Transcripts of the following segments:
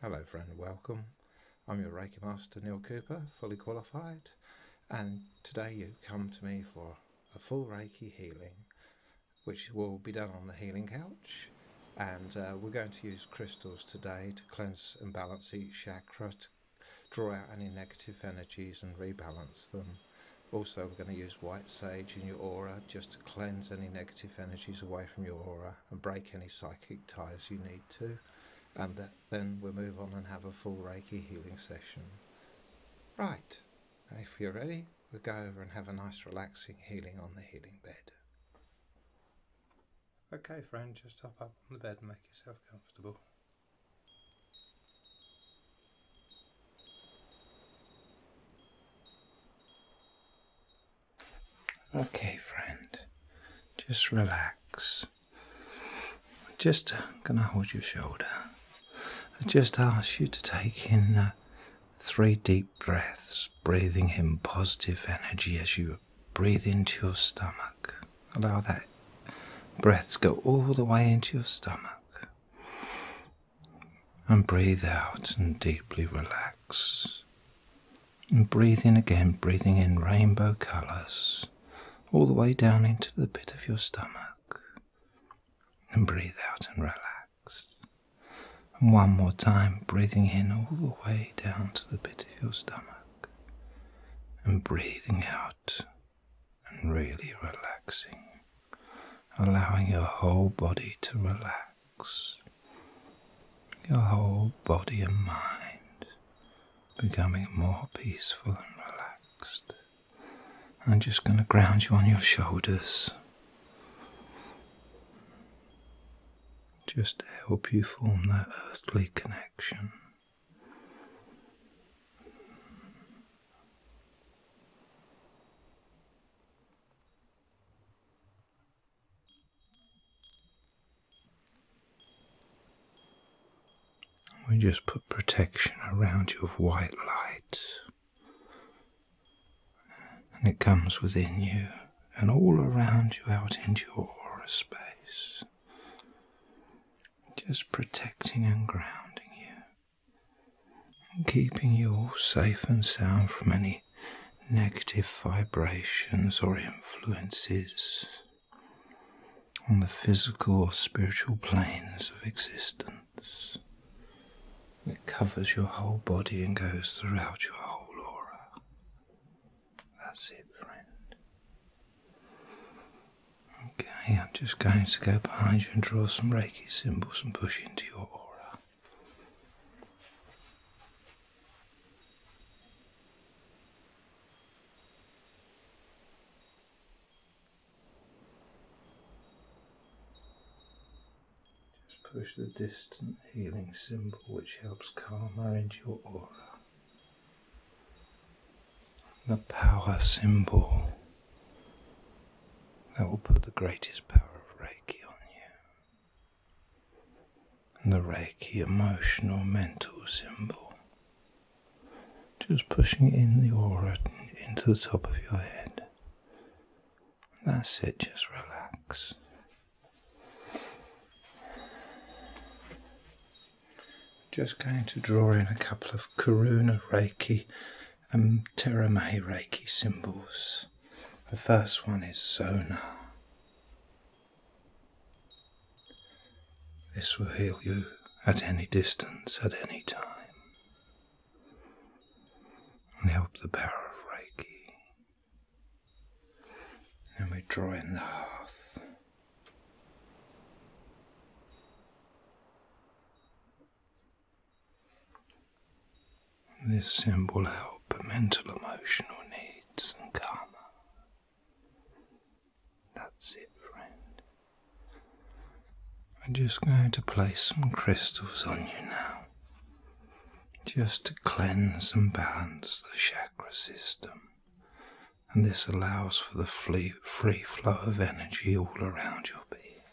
Hello friend, welcome. I'm your Reiki Master Neil Cooper, fully qualified, and today you come to me for a full Reiki healing, which will be done on the healing couch. And uh, we're going to use crystals today to cleanse and balance each chakra, to draw out any negative energies and rebalance them. Also, we're going to use white sage in your aura just to cleanse any negative energies away from your aura and break any psychic ties you need to. And then we'll move on and have a full Reiki healing session. Right, if you're ready, we'll go over and have a nice relaxing healing on the healing bed. Okay, friend, just hop up on the bed and make yourself comfortable. Okay, friend, just relax. Just uh, gonna hold your shoulder. just ask you to take in uh, three deep breaths, breathing in positive energy as you breathe into your stomach. Allow that breath to go all the way into your stomach and breathe out and deeply relax. And breathe in again, breathing in rainbow colours all the way down into the pit of your stomach. And breathe out and relax. And one more time, breathing in all the way down to the pit of your stomach. And breathing out and really relaxing allowing your whole body to relax, your whole body and mind becoming more peaceful and relaxed. I'm just going to ground you on your shoulders. Just to help you form that earthly connection. We just put protection around you of white light, and it comes within you and all around you out into your aura space, just protecting and grounding you keeping you all safe and sound from any negative vibrations or influences on the physical or spiritual planes of existence. It covers your whole body and goes throughout your whole aura. That's it, friend. Okay, I'm just going to go behind you and draw some Reiki symbols and push into your aura. Just push the distant healing symbol which helps karma into your aura. The power symbol that will put the greatest power of Reiki on you the Reiki emotional mental symbol. Just pushing in the aura into the top of your head. That's it, just relax. Just going to draw in a couple of Karuna Reiki and Tera Terame Reiki symbols. The first one is Zona. This will heal you at any distance, at any time, and help the power of Reiki. Then we draw in the hearth. This symbol helps mental, emotional needs and karma. That's it, friend. I'm just going to place some crystals on you now, just to cleanse and balance the chakra system. And this allows for the free flow of energy all around your being.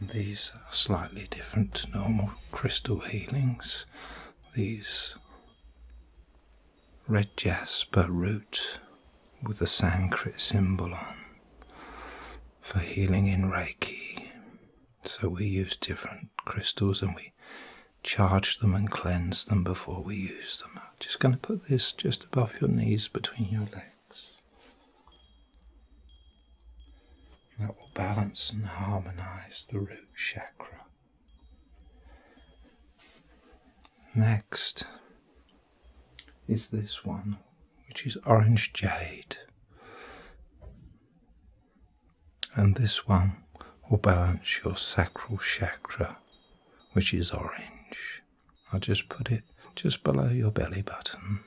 These are slightly different to normal crystal healings. These red jasper root with the Sanskrit symbol on for healing in Reiki. So we use different crystals and we charge them and cleanse them before we use them. I'm just going to put this just above your knees between your legs. That will balance and harmonize the root chakra. Next is this one, which is orange jade. And this one will balance your sacral chakra, which is orange. I'll just put it just below your belly button.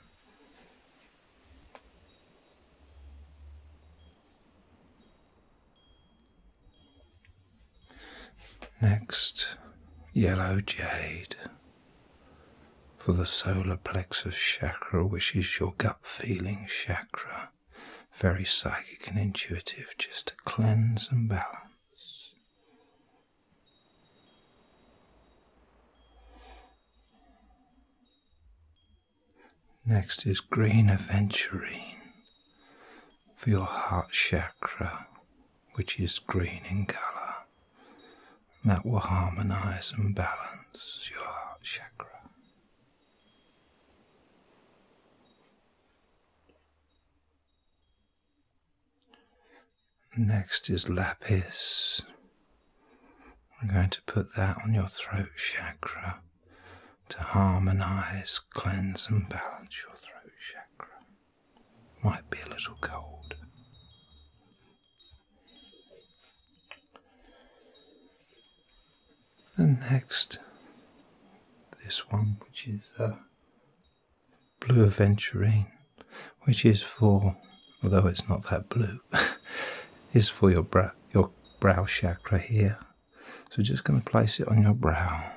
Next, yellow jade for the solar plexus chakra, which is your gut feeling chakra. Very psychic and intuitive, just to cleanse and balance. Next is green aventurine for your heart chakra, which is green in color. that will harmonize and balance your heart chakra. Next is lapis. I'm going to put that on your throat chakra to harmonize, cleanse, and balance your throat chakra. Might be a little cold. And next, this one, which is a uh, blue aventurine, which is for, although it's not that blue, is for your brow, chakra here. So just going to place it on your brow.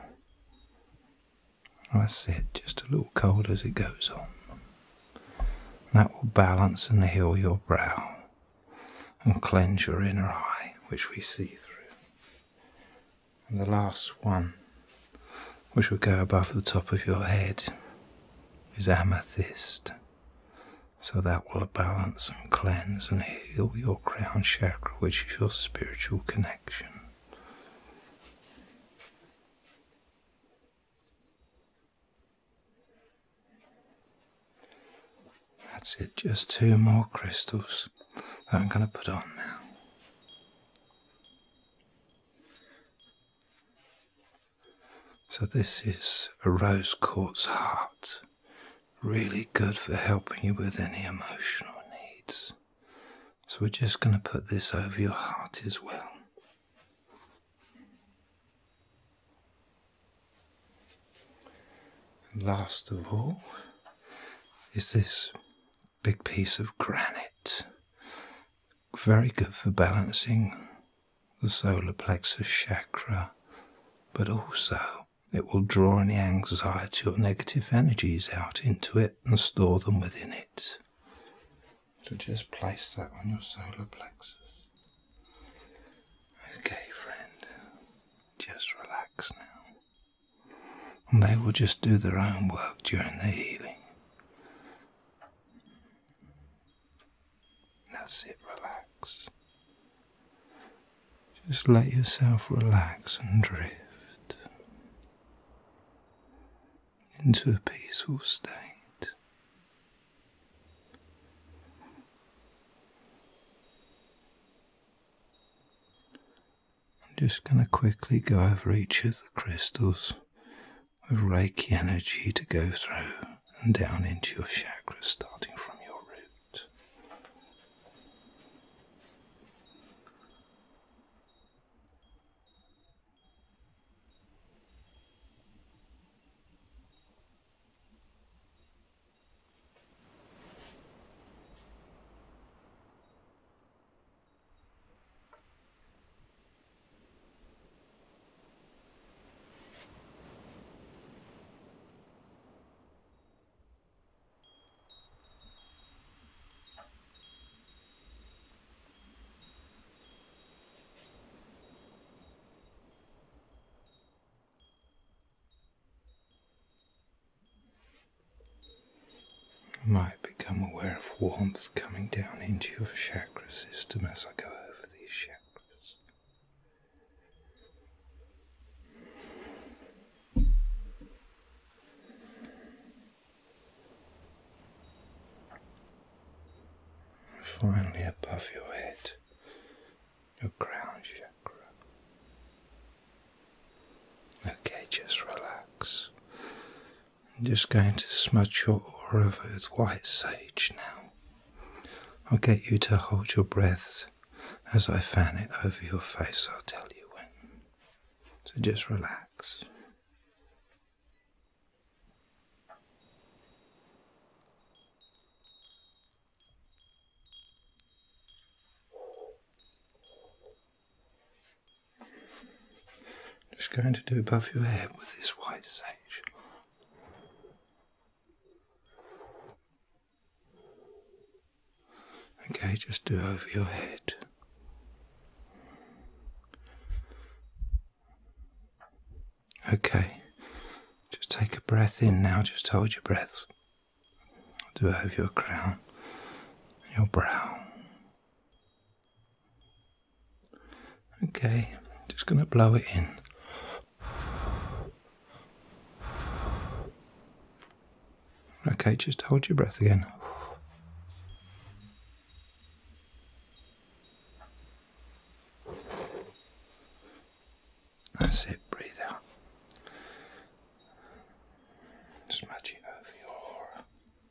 That's it, just a little cold as it goes on. That will balance and heal your brow and cleanse your inner eye, which we see through. And the last one which will go above the top of your head, is amethyst. So that will balance and cleanse and heal your crown chakra, which is your spiritual connection. That's it, just two more crystals that I'm going to put on now. So, this is a rose quartz heart, really good for helping you with any emotional needs. So, we're just going to put this over your heart as well. And last of all, is this big piece of granite very good for balancing the solar plexus chakra, but also it will draw any anxiety or negative energies out into it and store them within it. So just place that on your solar plexus. Okay, friend, just relax now. And they will just do their own work during the healing. That's sit, relax. Just let yourself relax and drift into a peaceful state. I'm just going to quickly go over each of the crystals with Reiki energy to go through and down into your chakras, starting from your root. You might become aware of warmth coming down into your chest chakra system as I go over these chakras. And finally, above your head, your crown chakra. Okay, just relax. I'm just going to smudge your aura with white sage now. I'll get you to hold your breath as I fan it over your face, I'll tell you when. So just relax. Just going to do above your head with this white sage. Okay, just do over your head. Okay, just take a breath in now, just hold your breath. do it over your crown, your brow, Okay, just going to blow it in. Okay, just hold your breath again. That's it, breathe out. Smudge it over your aura.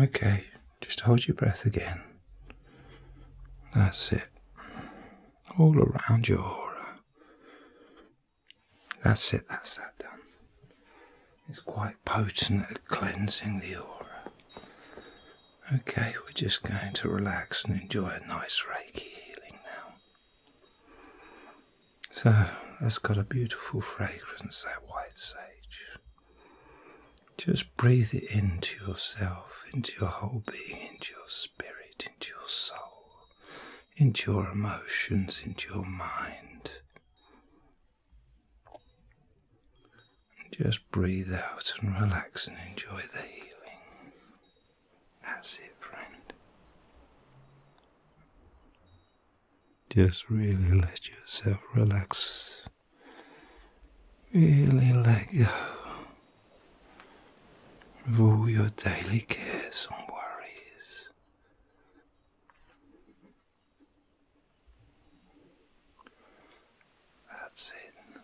Okay, just hold your breath again. That's it. All around your aura. That's it, that's that done. It's quite potent at cleansing the aura. Okay, we're just going to relax and enjoy a nice Reiki healing now. So, that's got a beautiful fragrance, that white sage. Just breathe it into yourself, into your whole being, into your spirit, into your soul, into your emotions, into your mind. Just breathe out and relax and enjoy the healing. That's it, friend. Just really let yourself relax. Really let go of all your daily cares and worries. That's it.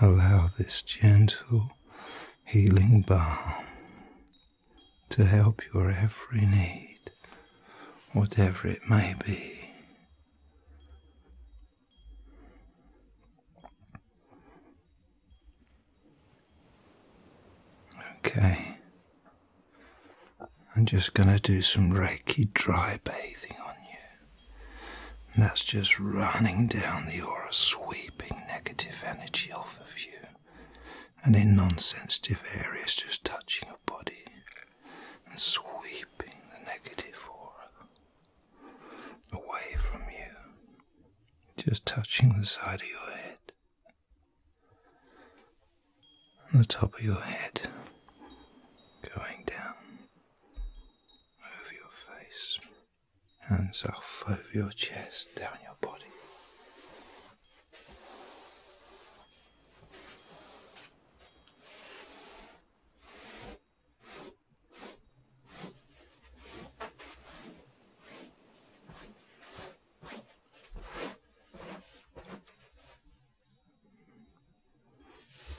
Allow this gentle healing balm to help your every need, whatever it may be. Okay. I'm just going to do some Reiki dry bathing on you. that's just running down the aura, sweeping negative energy off of you. And in non sensitive areas, just touching your body and sweeping the negative aura away from you just touching the side of your head, the top of your head, going down over your face, hands up over your chest, down your body.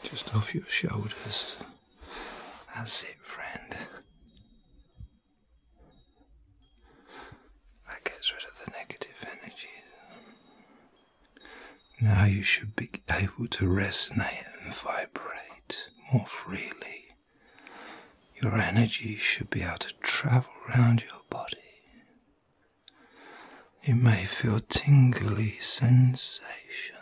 Just off your shoulders. That's it, friend. That gets rid of the negative energies. Now you should be able to resonate and vibrate more freely. Your energy should be able to travel round your body. You may feel tingly sensations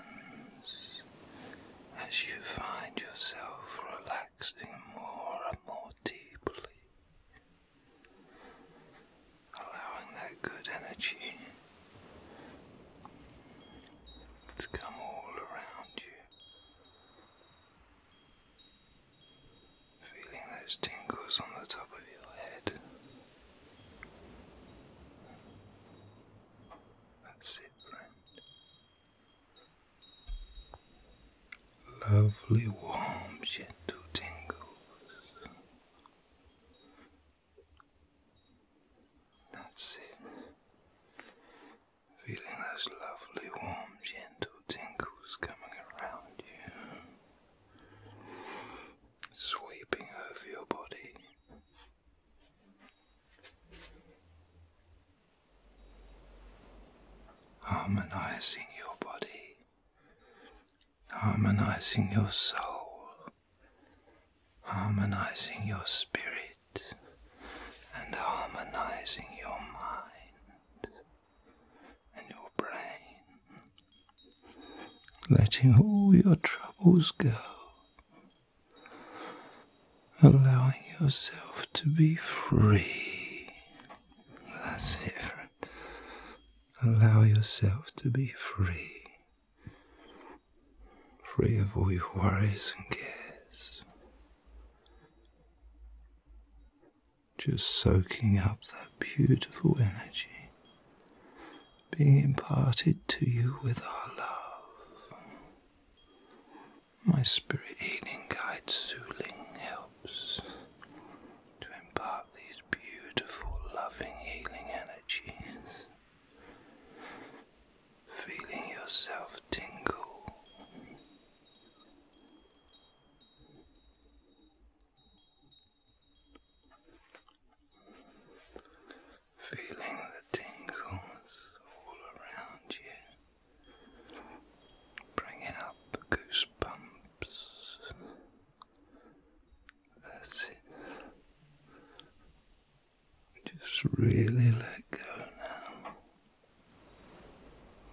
as you find yourself relaxing more and more deeply, allowing that good energy to come all around you. Feeling those tingles on the top of your head. That's it, friend. Lovely, warm, gentle tingles. That's it feeling those lovely, warm, gentle tingles coming around you, sweeping over your body. Harmonizing your body, harmonizing your soul, harmonizing your spirit and harmonizing your mind and your brain, letting all your troubles go, allowing yourself to be free. That's it. Allow yourself to be free. Free of all your worries and cares. Just soaking up that beautiful energy being imparted to you with our love. My spirit healing guide Zuling helps to impart these beautiful, loving, healing energies feeling yourself tingle. Feeling the tingles all around you, bringing up goosebumps. That's it. Just really let go now.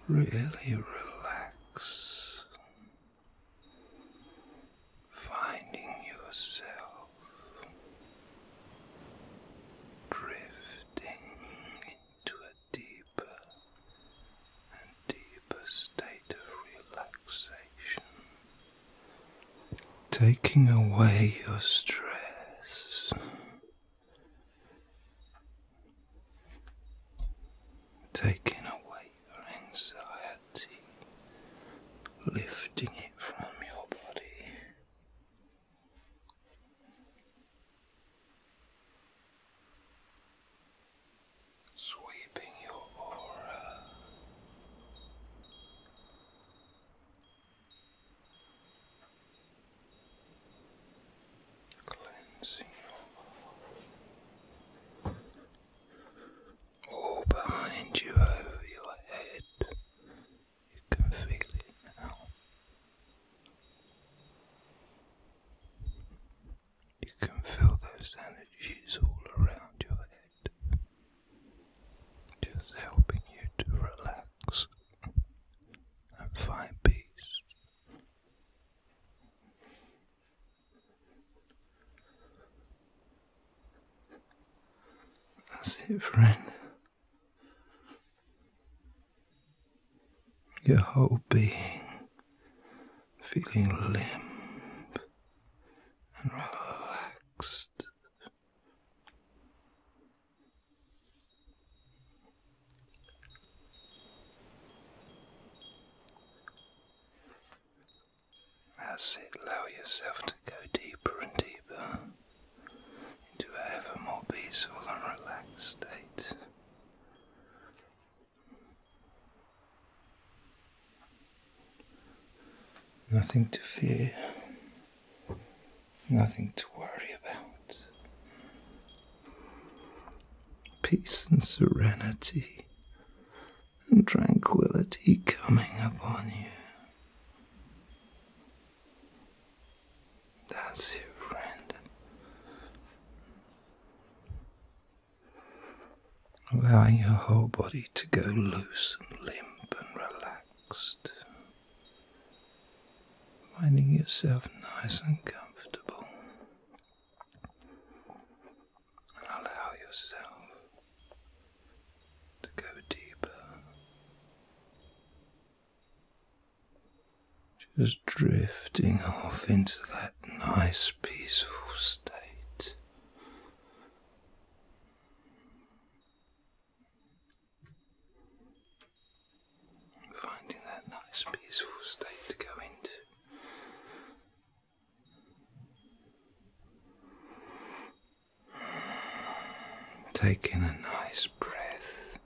Really relax. Finding yourself drifting into a deeper and deeper state of relaxation. Taking away your stress taking away your anxiety, lifting it from your body. Sweeping your aura Cleansing your all behind you over your head. You can feel it now. You can feel those energies all around your head, just helping you to relax and find peace. That's it, friend. Your whole being feeling limp and relaxed. That's it, allow yourself to go deeper and deeper into a ever more peaceful and relaxed state. Nothing to fear, Nothing to worry about. Peace and serenity and tranquility coming upon you. That's it, friend. Allowing your whole body to go loose and limp and relaxed finding yourself nice and comfortable, and allow yourself to go deeper. Just drifting off into that nice, peaceful state. Finding that nice, peaceful state to go into. Taking a nice breath.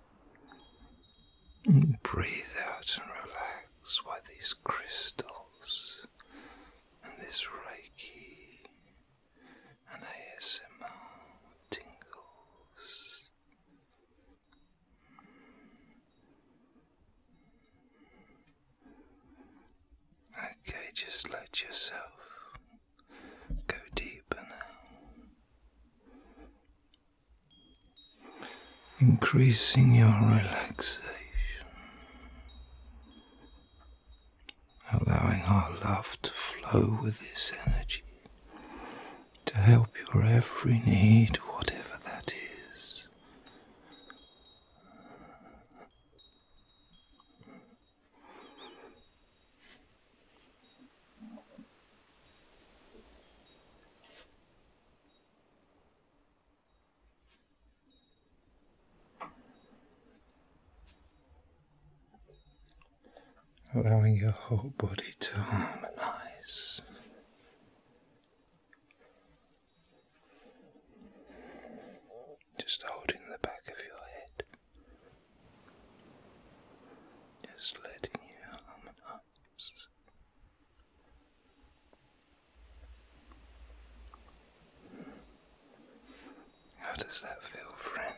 and Breathe out and relax while these crystals and this Reiki and ASMR tingles Okay, just let yourself go deeper uh, increasing your relaxation, allowing our love to flow with this energy to help your every need, whatever that is allowing your whole body to harmonize. Just holding the back of your head, just letting you harmonize. How does that feel, friend?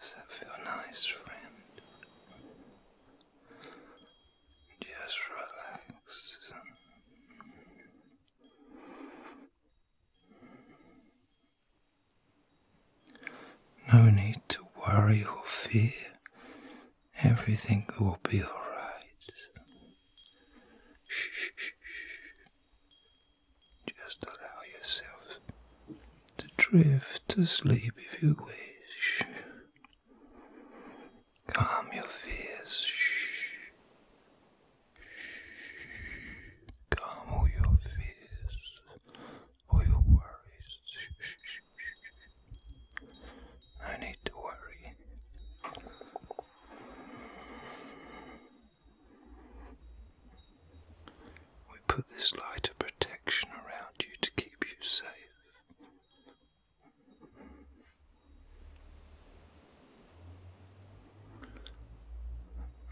Does that feel nice, friend? Just relax. No need to worry or fear. Everything will be alright. shh. Just allow yourself to drift to sleep if you wish. Calm your fears. Calm all your fears, all your worries. No need to worry. We put this light of protection around you to keep you safe.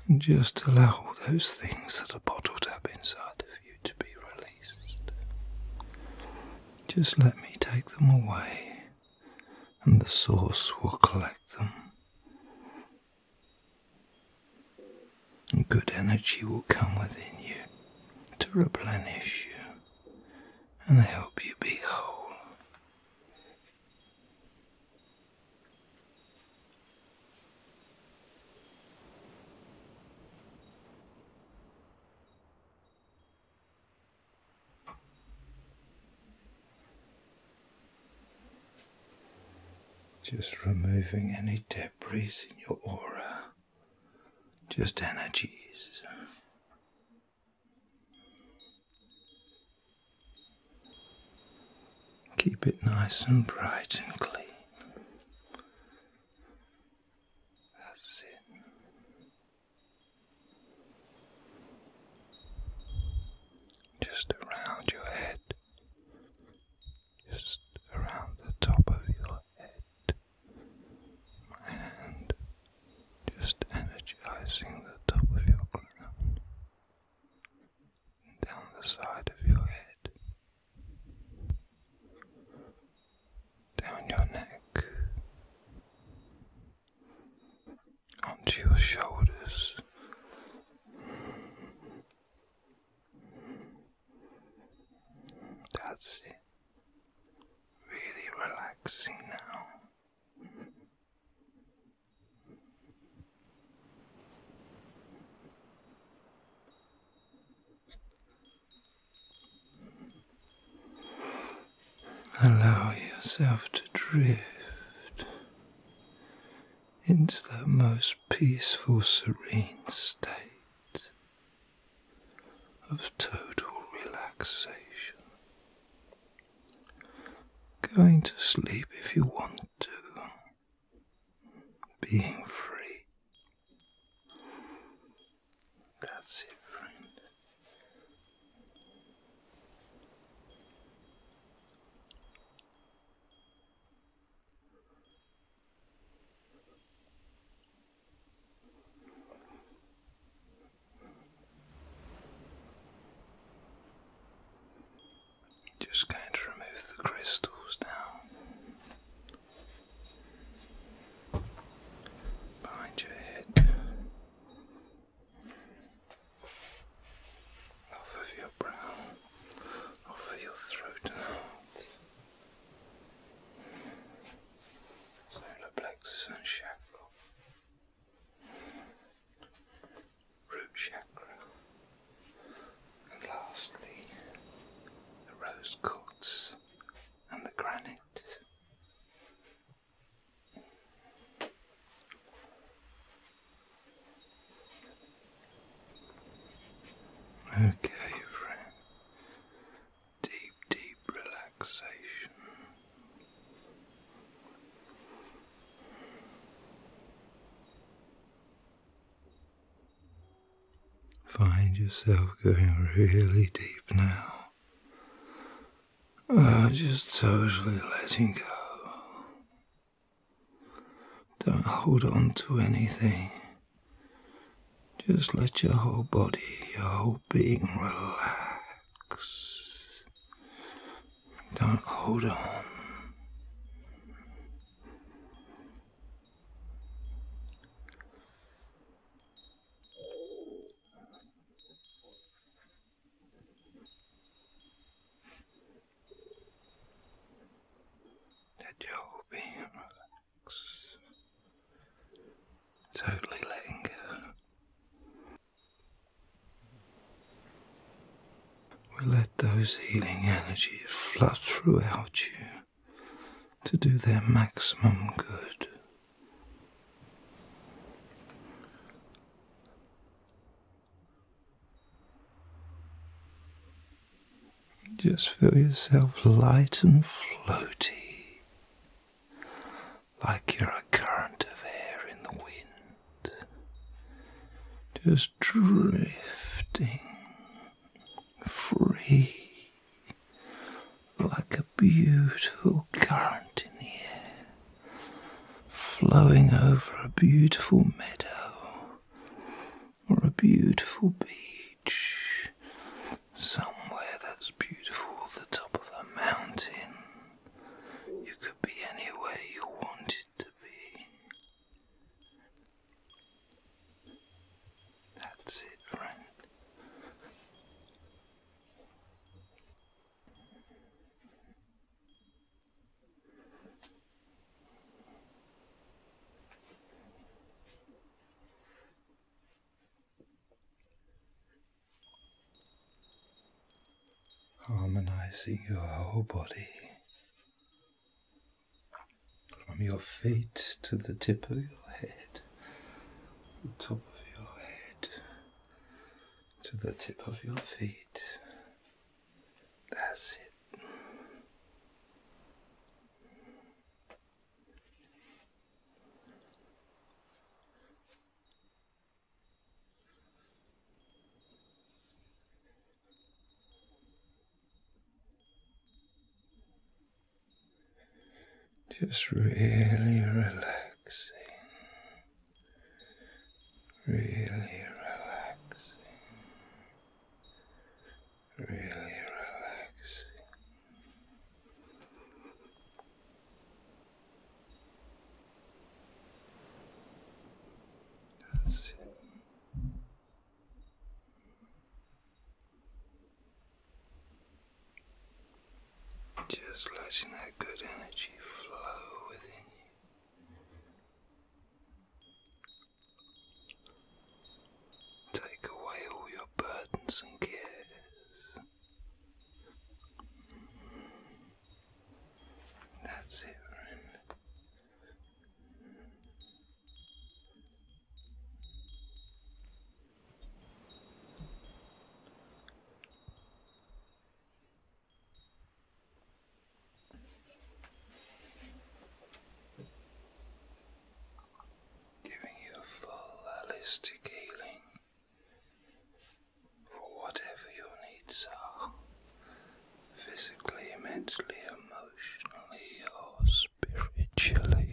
And just allow all those things that are bottled up inside of you to be released. Just let me take them away, and the source will collect them and good energy will come within you to replenish you and help you be whole. Just removing any debris in your aura, just energies. Keep it nice and bright and clean. That's it just around your head, just around the top of your head, and just energizing the top of your crown, down the side of your head, down your neck onto your shoulders. That's it. Really relaxing now. Allow yourself to drift into the most peaceful, serene state of total relaxation. Going to sleep if you want to, being free. That's it, friend. Just going to remove the crystals now behind your head off of your brow, off of your throat and heart. Solar plexus and chakra. Root chakra. And lastly, the rose quartz and the granite. Okay, friend. Deep, deep relaxation. Find yourself going really deep now. Ah, just totally letting go. Don't hold on to anything. Just let your whole body, your whole being relax. Don't hold on. Let your being relax. Totally letting go. We let those healing energies flood throughout you to do their maximum good. Just feel yourself light and floaty, like you're a current of air in the wind, just drifting free like a beautiful current in the air flowing over a beautiful meadow or a beautiful beach, somewhere that's beautiful, the top of a mountain. You could be anywhere you wanted to be. That's it, friend. Harmonizing your whole body from your feet to the tip of your head, the top of your head to the tip of your feet. That's it. Just really relaxing really relaxing, really relaxing. That's Just letting that good energy flow within you, Take away all your burdens and cares. That's it, friend giving you a full holistic healing for whatever your needs are physically, mentally, emotionally, or spiritually.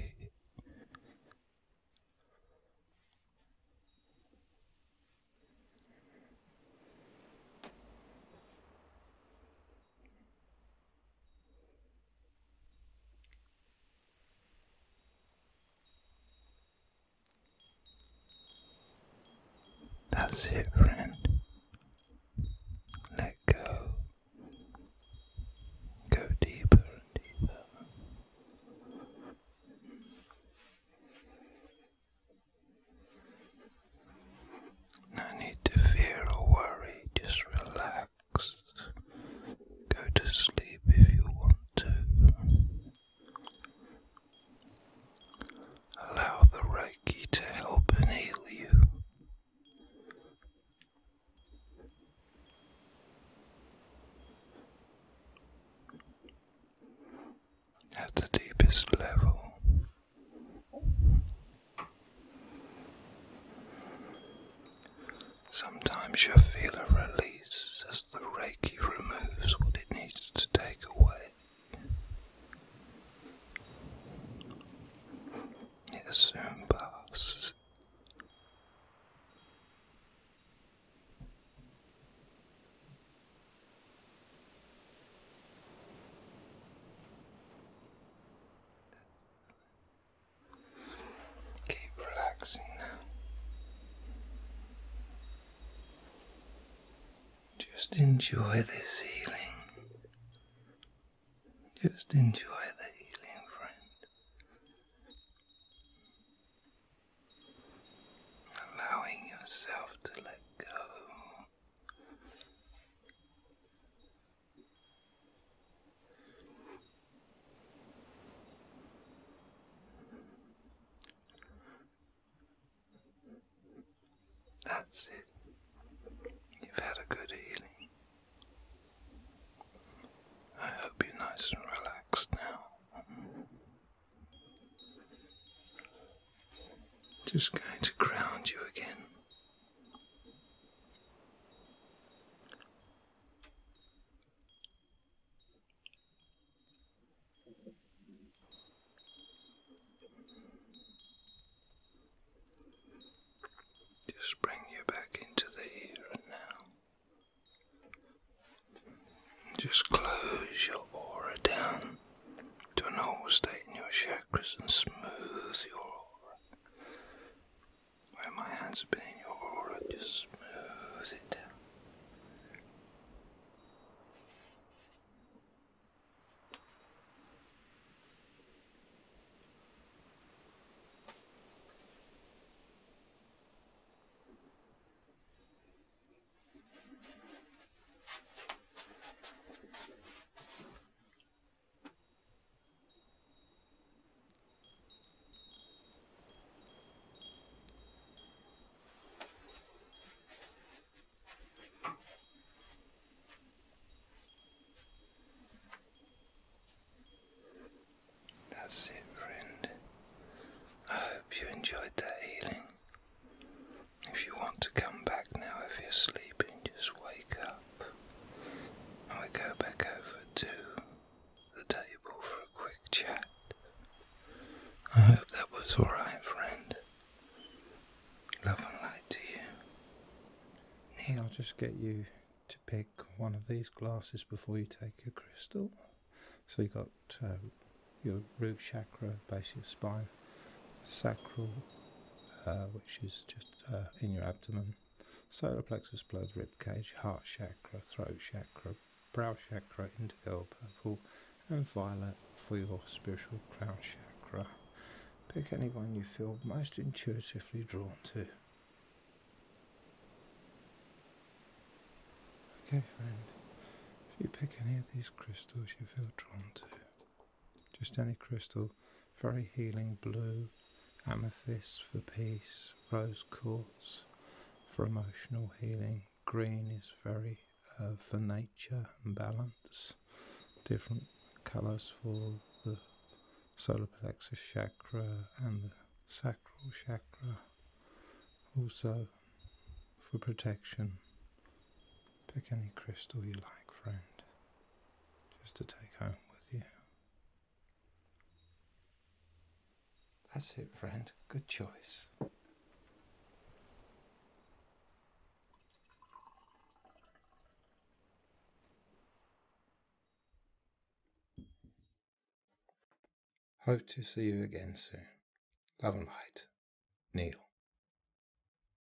That's it, friend. Let go. Go deeper and deeper. No need to fear or worry, just relax. Go to sleep if you want to. Allow the Reiki to help heal you. At the deepest level, Sometimes you feel a release as the Reiki removes what it needs to take away. It soon passes. Keep relaxing now. Just enjoy this healing. Just enjoy the healing, friend. Allowing yourself to let go that's it. You've had a good healing. I hope you're nice and relaxed now. Just going to ground you again. Just bring you back into the here and now. Just close your aura down to normal state in your chakras and smooth your aura. Where my hands have been in your aura, just smooth it down. That's it, friend. I hope you enjoyed that healing. If you want to come back now, if you're sleeping, just wake up. And we go back over to the table for a quick chat. I hope that was alright, friend. Love and light to you. Neil. I'll just get you to pick one of these glasses before you take your crystal. So you got uh, your root chakra, base of your spine sacral, uh, which is just uh, in your abdomen, solar plexus, blood, rib cage, heart chakra, throat chakra, brow chakra, indigo, purple, and violet for your spiritual crown chakra. Pick anyone you feel most intuitively drawn to. Okay, friend, if you pick any of these crystals you feel drawn to, just any crystal, very healing blue, amethyst for peace, rose quartz for emotional healing, green is very uh, for nature and balance, different colors for the solar plexus chakra and the sacral chakra, also for protection. Pick any crystal you like, friend just to take home with you. That's it, friend. Good choice. Hope to see you again soon. Love and light. Neil.